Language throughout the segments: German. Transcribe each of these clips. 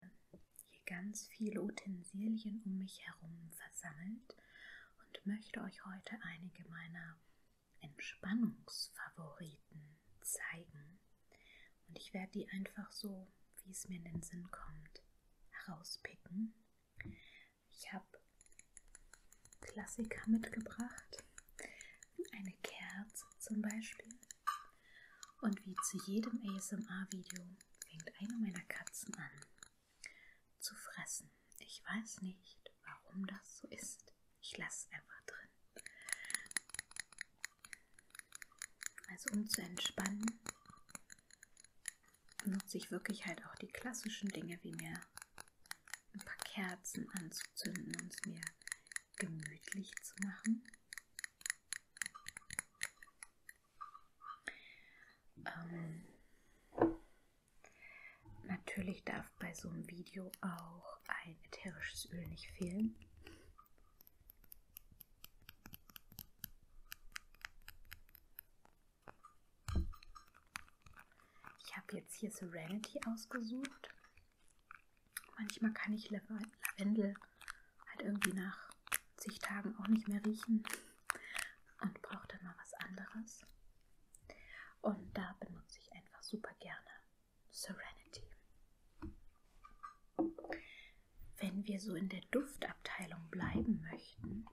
hier ganz viele Utensilien um mich herum versammelt und möchte euch heute einige meiner Entspannungsfavoriten zeigen. Und ich werde die einfach so, wie es mir in den Sinn kommt, herauspicken. Ich habe Klassiker mitgebracht. Eine Kerze zum Beispiel. Und wie zu jedem ASMR-Video fängt eine meiner Katzen an zu fressen. Ich weiß nicht, warum das so ist. Ich lasse es einfach drin. Also um zu entspannen, nutze ich wirklich halt auch die klassischen Dinge, wie mir ein paar Kerzen anzuzünden und mir gemütlich zu machen. Ähm, natürlich darf bei so einem Video auch ein ätherisches Öl nicht fehlen. Ich habe jetzt hier Serenity ausgesucht. Manchmal kann ich Lavendel halt irgendwie nach zig Tagen auch nicht mehr riechen und brauche dann mal was anderes. Und da benutze ich einfach super gerne Serenity. Wenn wir so in der Duftabteilung bleiben möchten,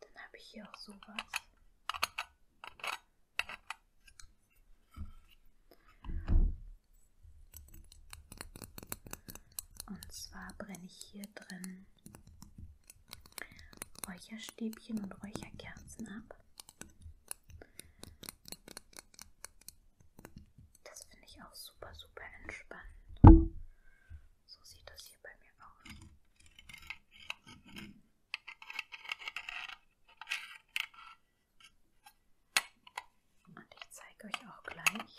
dann habe ich hier auch sowas. Und zwar brenne ich hier drin Räucherstäbchen und Räucherkerzen ab. Das finde ich auch super, super entspannend. So sieht das hier bei mir aus. Und ich zeige euch auch gleich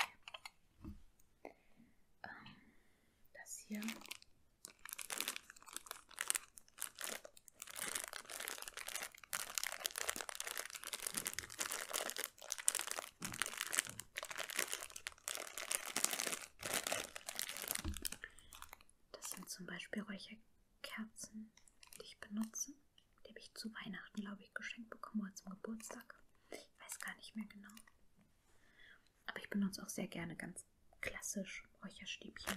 ähm, das hier. Das sind zum Beispiel solche Kerzen, die ich benutze. Die habe ich zu Weihnachten, glaube ich, geschenkt bekommen oder zum Geburtstag. Ich weiß gar nicht mehr genau. Aber ich benutze auch sehr gerne ganz klassisch Räucherstäbchen.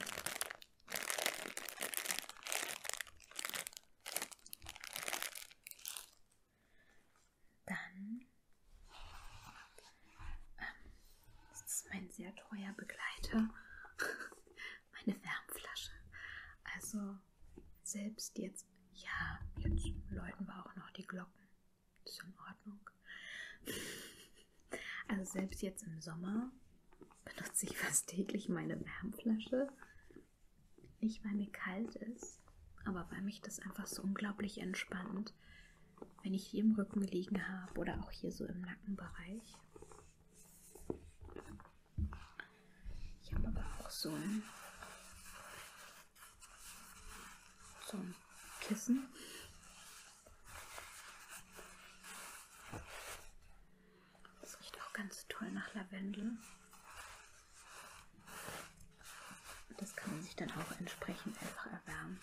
Dann ähm, das ist mein sehr teuer Begleiter. Meine Wärmflasche. Also selbst jetzt, ja, jetzt läuten wir auch noch die Glocken. Ist in Ordnung. Also selbst jetzt im Sommer benutze ich fast täglich meine Wärmflasche. Nicht, weil mir kalt ist, aber weil mich das einfach so unglaublich entspannt, wenn ich hier im Rücken liegen habe oder auch hier so im Nackenbereich. Ich habe aber auch so ein, so ein Kissen. Das riecht auch ganz toll nach Lavendel. Das kann man sich dann auch entsprechend einfach erwärmen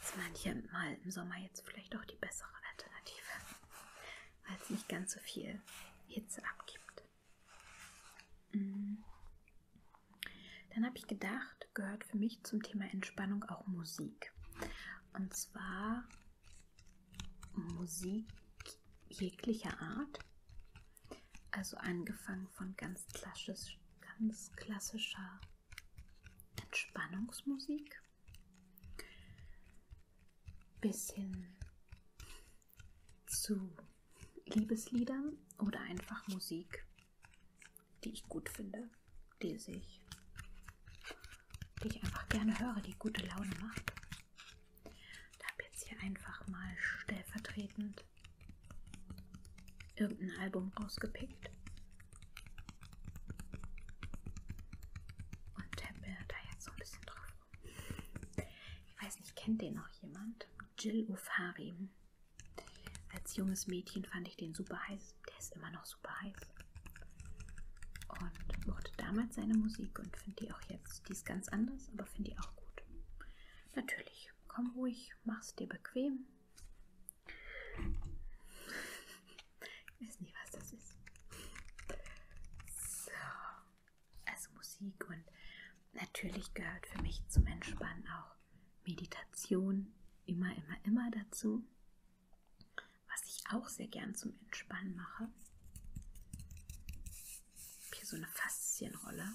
ist manchmal im Sommer jetzt vielleicht auch die bessere Alternative, weil es nicht ganz so viel Hitze abgibt. Mhm. Dann habe ich gedacht, gehört für mich zum Thema Entspannung auch Musik. Und zwar Musik jeglicher Art. Also angefangen von ganz, klassisch, ganz klassischer Entspannungsmusik bis hin zu Liebesliedern oder einfach Musik, die ich gut finde, die sich die ich einfach gerne höre, die gute Laune macht. Ich habe jetzt hier einfach mal stellvertretend irgendein Album rausgepickt. Und tappe da jetzt so ein bisschen drauf rum. Ich weiß nicht, kennt den noch jemand? Jill Ofari. Als junges Mädchen fand ich den super heiß. Der ist immer noch super heiß. Und mochte damals seine Musik und finde die auch jetzt. Die ist ganz anders, aber finde die auch gut. Natürlich, komm ruhig, mach's dir bequem. Ich weiß nicht, was das ist. So. Also Musik und natürlich gehört für mich zum Entspannen auch Meditation immer, immer, immer dazu. Was ich auch sehr gern zum Entspannen mache. Ich habe hier so eine Faszienrolle.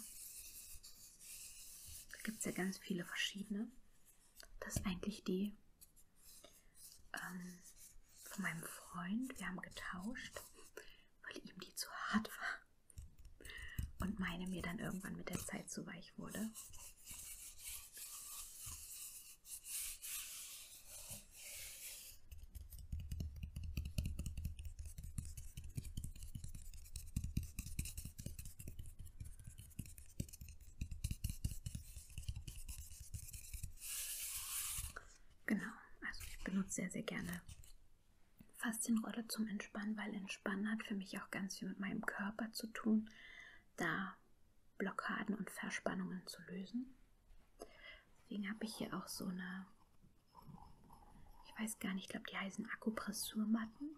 Da gibt es ja ganz viele verschiedene. Das ist eigentlich die ähm, von meinem Freund. Wir haben getauscht, weil ihm die zu hart war. Und meine mir dann irgendwann mit der Zeit zu weich wurde. Genau, also ich benutze sehr, sehr gerne Faszienrolle zum Entspannen, weil Entspannen hat für mich auch ganz viel mit meinem Körper zu tun, da Blockaden und Verspannungen zu lösen. Deswegen habe ich hier auch so eine, ich weiß gar nicht, ich glaube, die heißen Akupressurmatten.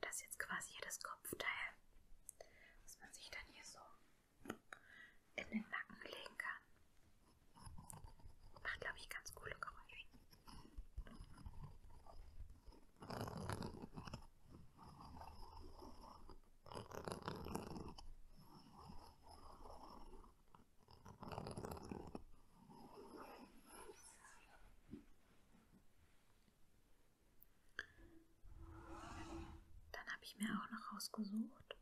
Das ist jetzt quasi hier das Kopfteil, was man sich dann hier so in den Nacken legen kann. Macht, glaube ich, ganz coole Geräusche. Dann habe ich mir auch noch rausgesucht.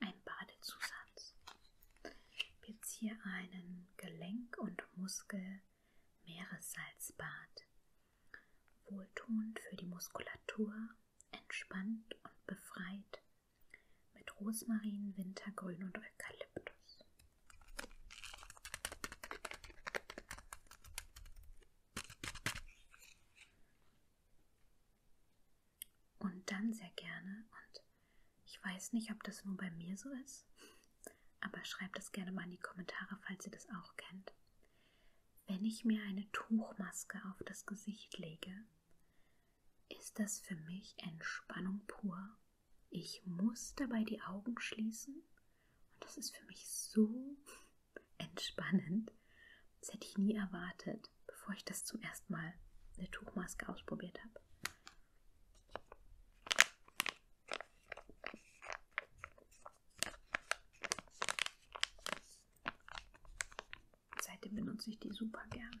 Ein Badezusatz. Ich habe jetzt hier einen Gelenk- und Muskel-Meeressalzbad. Wohltuend für die Muskulatur, entspannt und befreit. Mit Rosmarin, Wintergrün und Eukalyptus. Und dann sehr gerne, und ich weiß nicht, ob das nur bei mir so ist, aber schreibt es gerne mal in die Kommentare, falls ihr das auch kennt. Wenn ich mir eine Tuchmaske auf das Gesicht lege, ist das für mich Entspannung pur. Ich muss dabei die Augen schließen und das ist für mich so entspannend. Das hätte ich nie erwartet, bevor ich das zum ersten Mal eine Tuchmaske ausprobiert habe. Seitdem benutze ich die super gerne.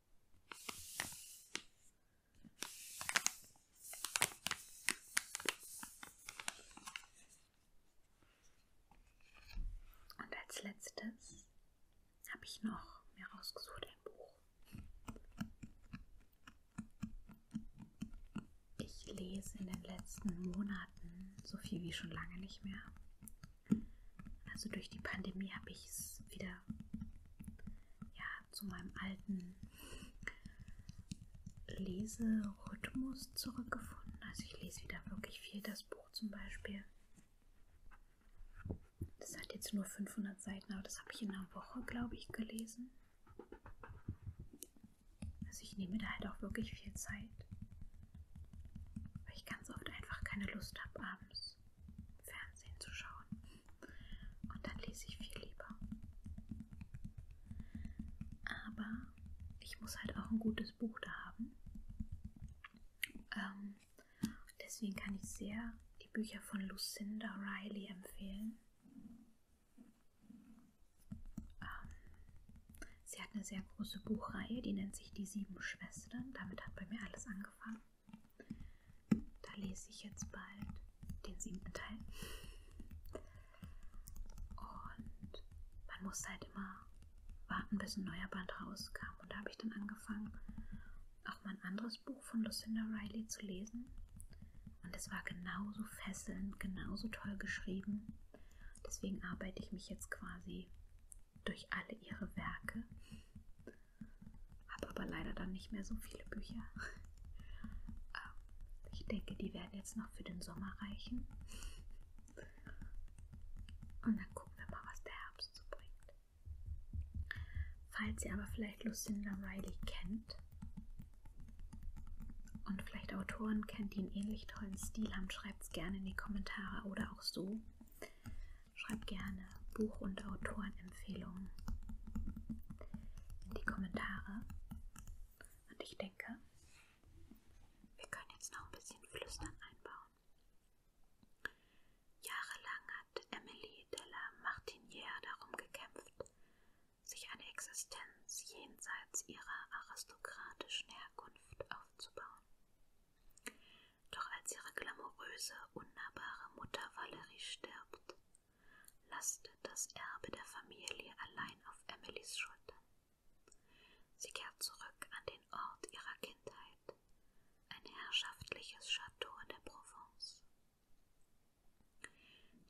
Und als letztes habe ich noch mir rausgesucht ein Buch. Ich lese in den letzten Monaten so viel wie schon lange nicht mehr. Also durch die Pandemie habe ich es wieder ja, zu meinem alten Leserhythmus zurückgefunden. Also ich lese wieder wirklich viel das Buch zum Beispiel. Das hat jetzt nur 500 Seiten, aber das habe ich in einer Woche, glaube ich, gelesen. Also ich nehme da halt auch wirklich viel Zeit, weil ich ganz oft einfach keine Lust habe abends. Fernsehen zu schauen. Und dann lese ich viel lieber. Aber ich muss halt auch ein gutes Buch da haben. Ähm, deswegen kann ich sehr die Bücher von Lucinda Riley empfehlen. Ähm, sie hat eine sehr große Buchreihe, die nennt sich Die Sieben Schwestern. Damit hat bei mir alles angefangen angefangen. Da lese ich jetzt bald den siebten Teil. Und man musste halt immer warten, bis ein neuer Band rauskam. Und da habe ich dann angefangen, auch mal ein anderes Buch von Lucinda Riley zu lesen. Und es war genauso fesselnd, genauso toll geschrieben. Deswegen arbeite ich mich jetzt quasi durch alle ihre Werke. Habe aber leider dann nicht mehr so viele Bücher. Ähm, ich denke, die werden jetzt noch für den Sommer reichen. Und dann gucken wir mal, was der Herbst so bringt. Falls ihr aber vielleicht Lucinda Riley kennt und vielleicht Autoren kennt, die einen ähnlich tollen Stil haben, schreibt es gerne in die Kommentare oder auch so. Schreib gerne Buch- und Autorenempfehlungen in die Kommentare. Und ich denke, wir können jetzt noch ein bisschen Flüstern einbauen. Jahrelang hat Emily Della Martinière darum gekämpft, sich eine Existenz jenseits ihrer aristokratischen Herkunft aufzubauen. Doch als ihre glamouröse, unnahbare Mutter Valerie stirbt, lastet das Erbe der Familie allein auf Emilys Schultern. Sie kehrt zurück an den Ort ihrer Kindheit, ein herrschaftliches Chateau in der Provence.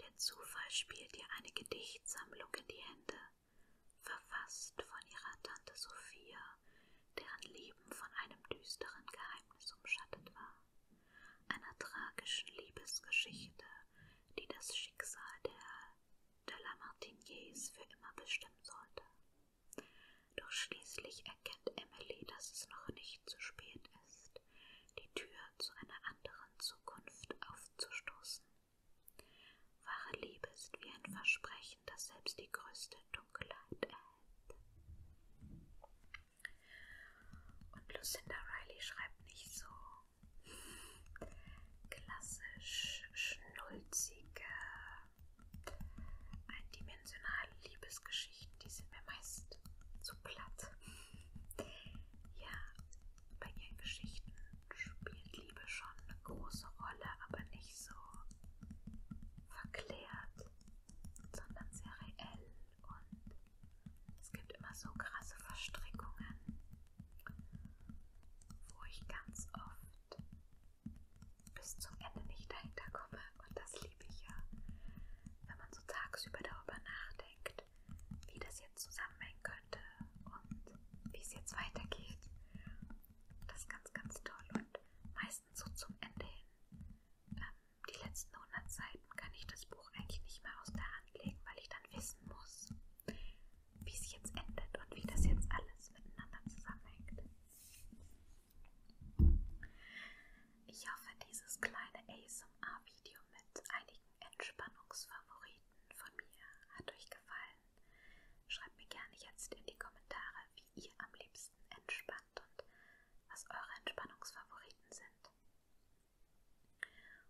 Der Zufall spielt ihr eine Gedichtsammlung in die Hände, verfasst von ihrer Tante Sophia, deren Leben von einem düsteren Geheimnis umschattet war, einer tragischen Liebesgeschichte, die das Schicksal der de Lamartiniers für immer bestimmen sollte. Doch schließlich erkennt Emily, dass es noch nicht zu spät ist, die Tür zu einer anderen Zukunft aufzustoßen. Wahre Liebe ist wie ein Versprechen, das selbst die größte Dunkelheit erhält. Und Lucinda Riley schreibt nicht so klassisch schnulzige, eindimensionale Liebesgeschichten, die sind mir meist zu platt. Ja, bei ihren Geschichten spielt Liebe schon eine große Rolle, aber nicht so verklärt, sondern sehr reell und es gibt immer so krasse Verstrickungen, wo ich ganz oft bis zum Ende nicht dahinter komme und das liebe ich ja, wenn man so tagsüber darüber nachdenkt, wie das jetzt zusammenhängen könnte könnte und wie es jetzt weitergeht. Das ist ganz, ganz toll. Und meistens so zum Ende hin, ähm, die letzten 100 Seiten, kann ich das Buch eigentlich nicht mehr aus der Hand legen, weil ich dann wissen muss, wie es jetzt endet und wie das jetzt alles miteinander zusammenhängt. Ich hoffe, dieses kleine ASMR-Video mit einigen Entspannungsfavoriten von mir hat euch gefallen gefallen. Schreibt mir gerne jetzt in die Kommentare, wie ihr am liebsten entspannt und was eure Entspannungsfavoriten sind.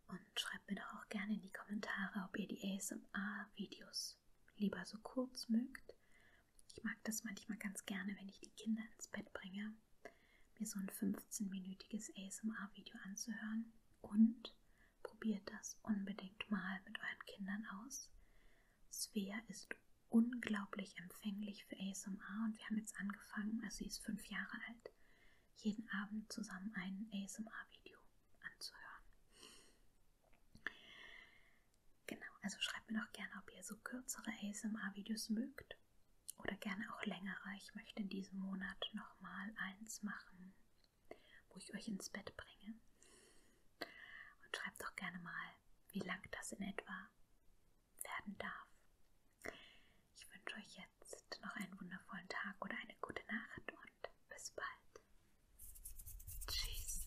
Und schreibt mir doch auch gerne in die Kommentare, ob ihr die ASMR-Videos lieber so kurz mögt. Ich mag das manchmal ganz gerne, wenn ich die Kinder ins Bett bringe, mir so ein 15-minütiges ASMR-Video anzuhören. Und Probiert das unbedingt mal mit euren Kindern aus. Svea ist unglaublich empfänglich für ASMR und wir haben jetzt angefangen, also sie ist fünf Jahre alt, jeden Abend zusammen ein ASMR-Video anzuhören. Genau, also schreibt mir doch gerne, ob ihr so kürzere ASMR-Videos mögt oder gerne auch längere. Ich möchte in diesem Monat nochmal eins machen wo ich euch ins Bett bringe. Und schreibt doch gerne mal, wie lang das in etwa werden darf. Ich wünsche euch jetzt noch einen wundervollen Tag oder eine gute Nacht und bis bald. Tschüss.